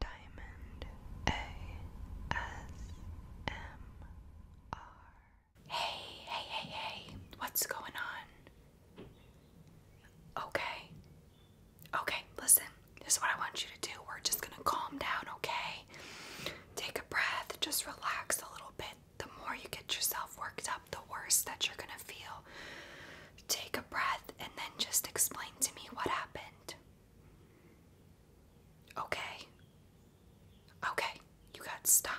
Diamond ASMR. Hey, hey, hey, hey, what's going on? Okay. Okay, listen, this is what I want you to do. We're just gonna calm down, okay? Take a breath, just relax a little bit. The more you get yourself worked up, the worse that you're gonna feel. Take a breath and then just explain to me what happened. Okay. Okay, you got stung.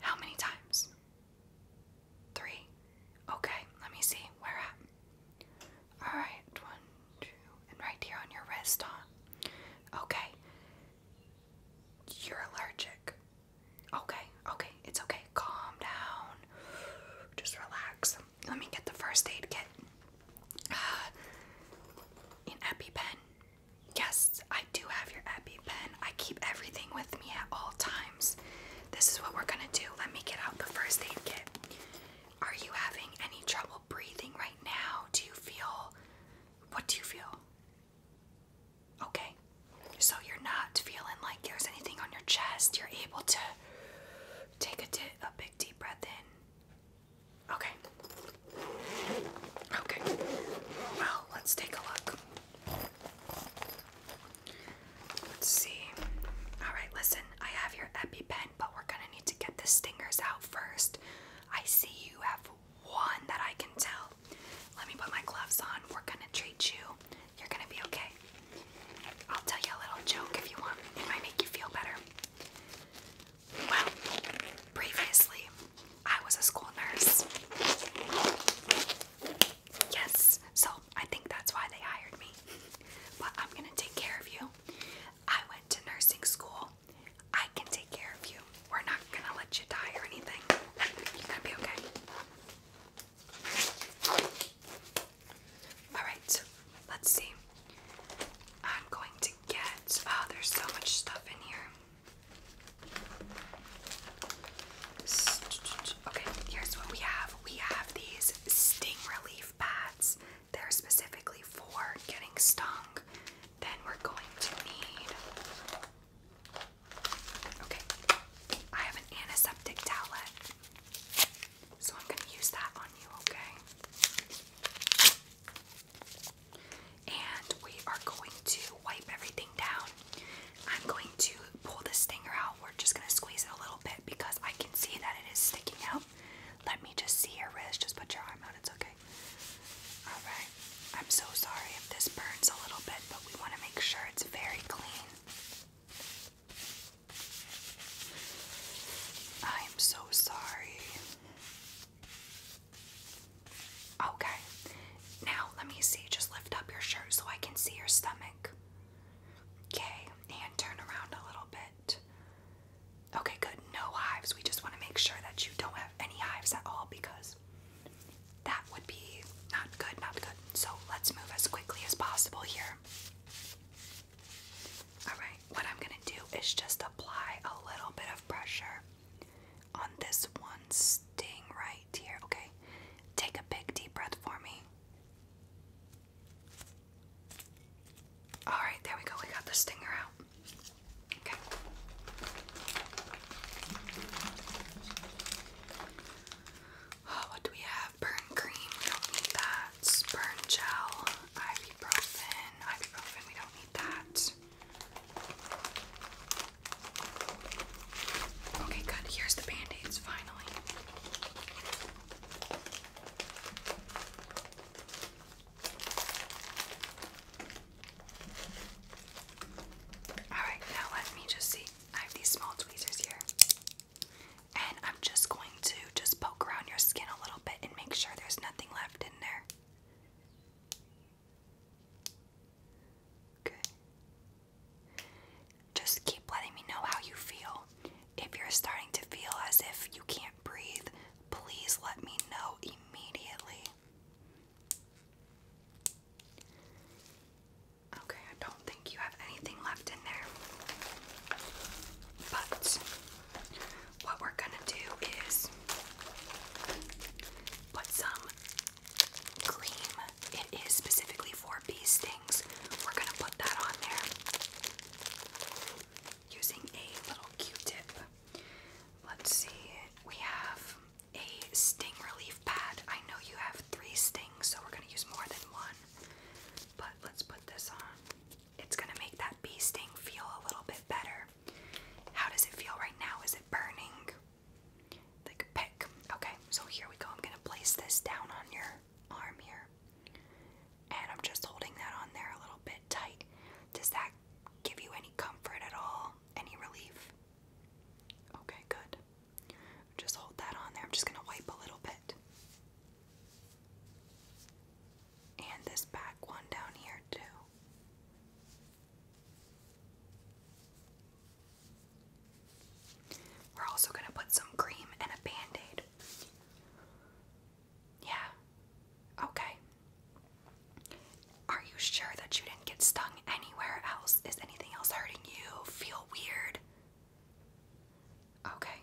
How many times? Three. Okay, let me see. Where at? Alright, one, two, and right here on your wrist, huh? Okay. You're allergic. Okay, okay, it's okay. Calm down. Just relax let me get the first aid kit. Uh, an EpiPen. Yes, I do have your EpiPen. I keep everything with me at all times. This is what we're gonna do. Let me get out the first aid kit. Are you having any trouble breathing right now? Do you feel. What do you feel? Okay. So you're not feeling like there's anything on your chest. You're able to take a big deep breath in. Okay. Okay. Well, let's take a look. Let's see. Alright, listen, I have your EpiPen, but we're gonna need to get the stingers out first. I see you have one that I can tell. Let me put my gloves on. We're gonna treat you. You're gonna be okay. I'll tell you a little joke if you want. It might make you feel better. Well, previously, I was a school nurse. Yes, so I think that's why they hired me. But I'm gonna take care of you. I went to nursing school. I can take care of you. We're not gonna let you die or anything. You're gonna be okay. Alright, let's see. I'm going to get. Oh, there's so much stuff in here. Okay, here's what we have. We have these sting relief pads. They're specifically for getting stung. Then we're going to need. Okay, I have an antiseptic towelette. So I'm going to use that on you, okay? And we are going to wipe everything down. I'm going to pull the stinger out. We're just going to squeeze it a little bit because I can see that it is sticking out. Let me just see your wrist. Just put your arm out. It's okay. Alright. I'm so sorry if this burns a little bit, but we want to make sure it's very clean. I'm so sorry. Okay. Now, let me see. Just lift up your shirt so I can see your stomach. Okay. And turn around a little bit. Okay, good. No hives. We just want to make sure that you don't have any hives at all because that would be not good, not good. So let's move as quickly as possible here. Alright, what I'm going to do is just apply a little bit of pressure on this one sting right here, okay? Take a big deep breath for me. Alright, there we go. We got the stinger out. Okay. Oh, what do we have? burn cream, we don't need that. Burn gel, ibuprofen, ibuprofen, we don't need that. Okay, good. Here's the band aids finally. Alright, now let me just see. I have these small tweezers here. And I'm just going to just poke around your skin a little bit and make sure there's nothing left in there. Okay. Just keep letting me know how you feel. If you're starting to feel as if you can't breathe, please let me know immediately. Okay, I don't think you have anything left in there. But what we're gonna do is put some cream. It is specifically for bee stings. We're gonna put that on there using a little Q-tip. Let's see. We have a sting relief pad. I know you have three stings, so we're gonna use more than one. But let's put this on it's going to make that bee sting feel a little bit better. How does it feel right now? Is it burning? Like pick. Okay, so here we go. I'm going to place this down on your arm here. And I'm just holding that on there a little bit tight. Does that give you any comfort at all? Any relief? Okay, good. Just hold that on there. I'm just going to wipe a little bit. And this back one down here, too. We're also going to put some cream and a band aid. Yeah. Okay. Are you sure that you didn't get stung anywhere else? Is anything else hurting you? Feel weird? Okay.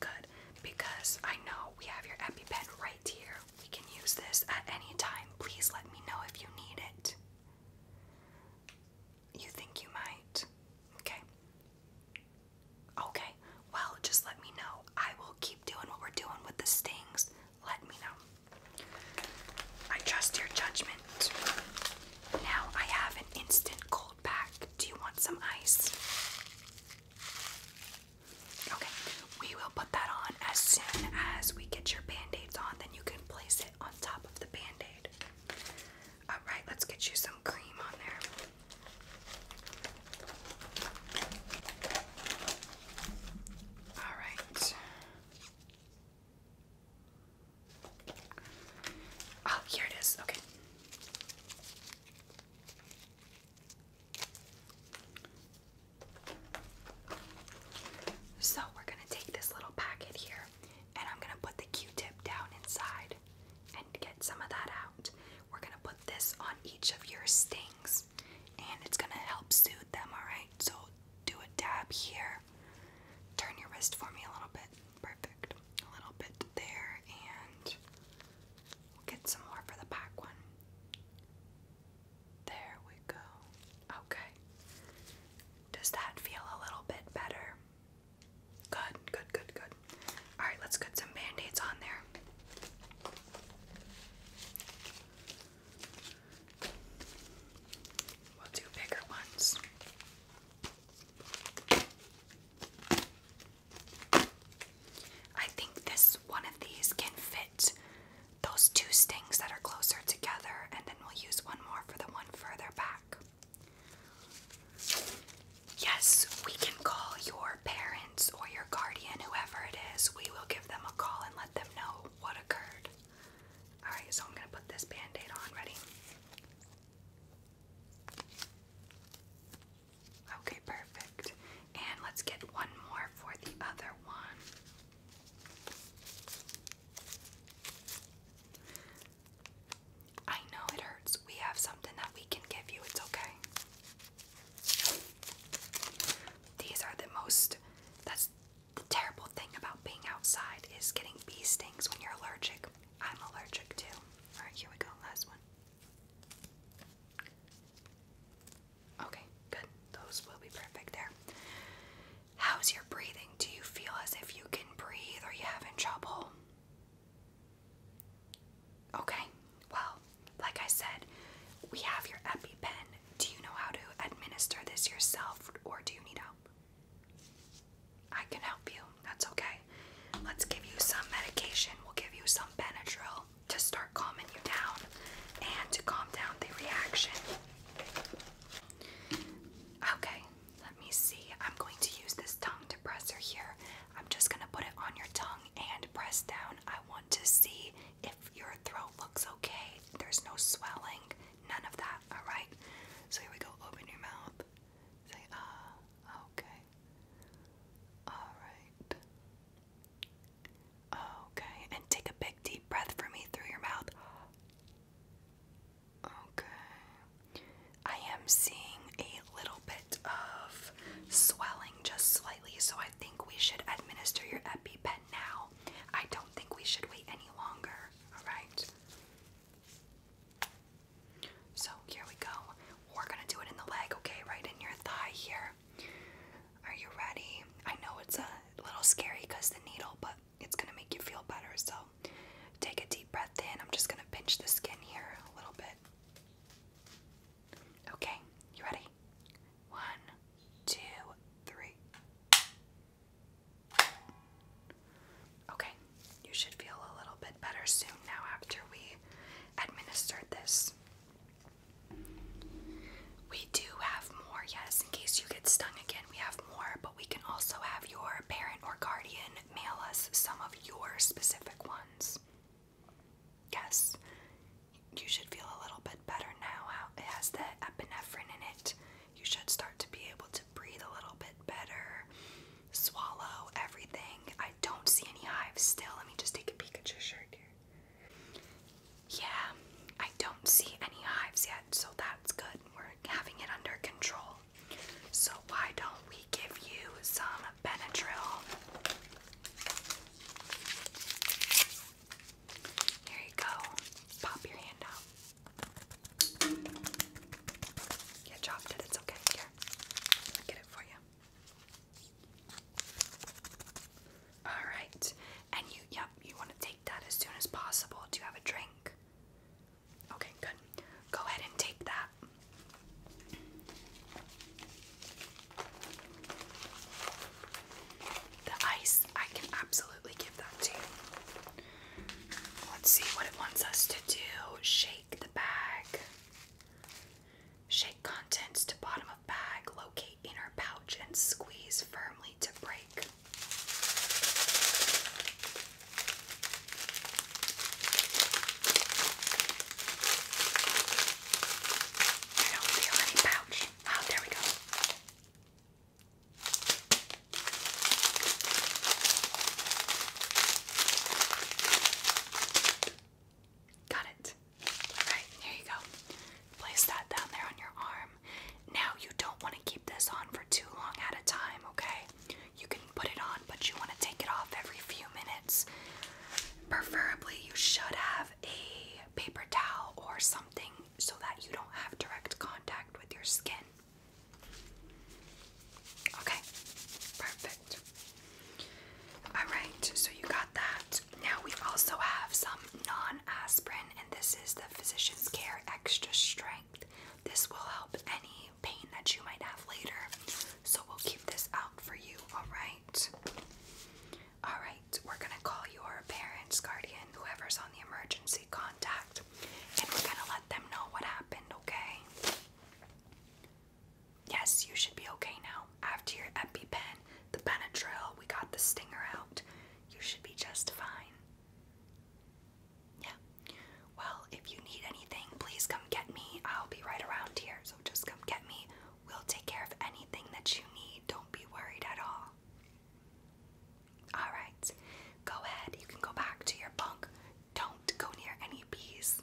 Good, because I know we have your EpiPen right here. We can use this at any time. Please let me know if you need it. You think you might? Okay. Okay, well, just let me know. I will keep doing what we're doing with the stings. Let me know. I trust your judgment. Now I have an instant cold pack. Do you want some ice? Okay, we will put that on as soon as we get your band aids on, then you can place it on top of the band aid. Alright, let's get you some cream on there. Alright. Oh, here it is. Okay. So, we're going to take this little packet here and I'm going to put the q tip down inside and get some of that out. We're going to put this on each of your stings and it's going to help soothe them, alright? So, do a dab here. Turn your wrist for me a little bit. Perfect. A little bit there and We'll get some more for the back one. There we go. Okay. Does that feel a little bit better? Good, good, good, good. Alright, let's get some band aids on there. We'll do bigger ones. I think this one of these can fit those two stings that are closer together, and then we'll use one more for the one further back. Yes, we can call your parents or your guardian, whoever it is. We will give them a call and let them know what occurred. Alright, so I'm going to put this band on. Ready? Okay, perfect. And let's get one more for the other one. I know it hurts. We have something that we can give you. It's okay. These are the most that's the terrible thing about being outside is getting bee stings when you're allergic. I'm allergic too. Alright, here we go. Last one. Okay, good. Those will be perfect there. How's your breathing? Do you feel as if you can breathe or you having trouble? Okay, well, like I said, we have your EpiPen. Do you know how to administer this yourself or do you need help? I can help you. That's okay let's give you some medication. We'll give you some Benadryl to start calming you down and to calm down the reaction. Okay, let me see. I'm going to use this tongue depressor here. I'm just going to put it on your tongue and press down. I want to see if your throat looks okay. There's no swelling, none of that, alright? So here we go. Open your mouth. Say, ah, okay. Alright. Okay, and take a big deep breath for me through your mouth. Okay. I am seeing a little bit of swelling just slightly, so I think we should administer your EpiPen now. I don't think we should wait any longer. All right. So here we go. We're gonna do it in the leg, okay? Right in your thigh here. Are you ready? I know it's a little scary because the needle, but it's gonna make you feel better. So take a deep breath in. I'm just gonna pinch the skin here a little bit. Okay, you ready? One, two, three. Okay, you should feel a little bit better soon now after we administered this. We do have more, yes, in case you get stung again, we have more, but we can also have your parent or guardian mail us some of your specific ones. Yes, you should feel a little bit better now. it has the epinephrine in it. You should start to be able to breathe a little bit better, swallow everything. I don't see any hives still. Let me just take a peek at your shirt Yeah, I don't see any hives yet, so that's good. We're having it under control. So why don't we give you some Benadryl? Here you go. Pop your hand out. Yeah, dropped it. It's okay. Here, i get it for you. Alright. And you, yep, you want to take that as soon as possible. Do you have a drink? Okay, good. Go ahead and take that. The ice, I can absolutely give that to you. Let's see what it wants us to do. Shake the bag. Shake contents to bottom of bag, locate inner pouch, and squeeze firmly to break. I don't feel any pouch. Oh, there we go. Got it. Alright, there you go. Place that down there on your arm. Now, you don't want to keep this on for too long at a time, okay? You can put it on, but you want to take it off every few minutes. Preferably, you should have a paper towel or something so that you don't have direct contact with your skin. Okay, perfect. Alright, so you got that. Now we also have some non aspirin, and this is the Physician's Care Extra Strength. This will help any pain that you might have later. So we'll keep this out for you, alright? Alright, we're gonna call your parents, guardian, whoever's on the emergency contact, and we're gonna let them know what happened, okay? Yes, you should be okay now. After your EpiPen, the Benadryl, we got the stinger out. You should be just fine. Yeah. Well, if you need anything, please come get me. I'll be right around here, so just come get me. We'll take care of anything that you need. Don't be worried at all. Alright, go ahead. You can go back to your bunk. Don't go near any bees.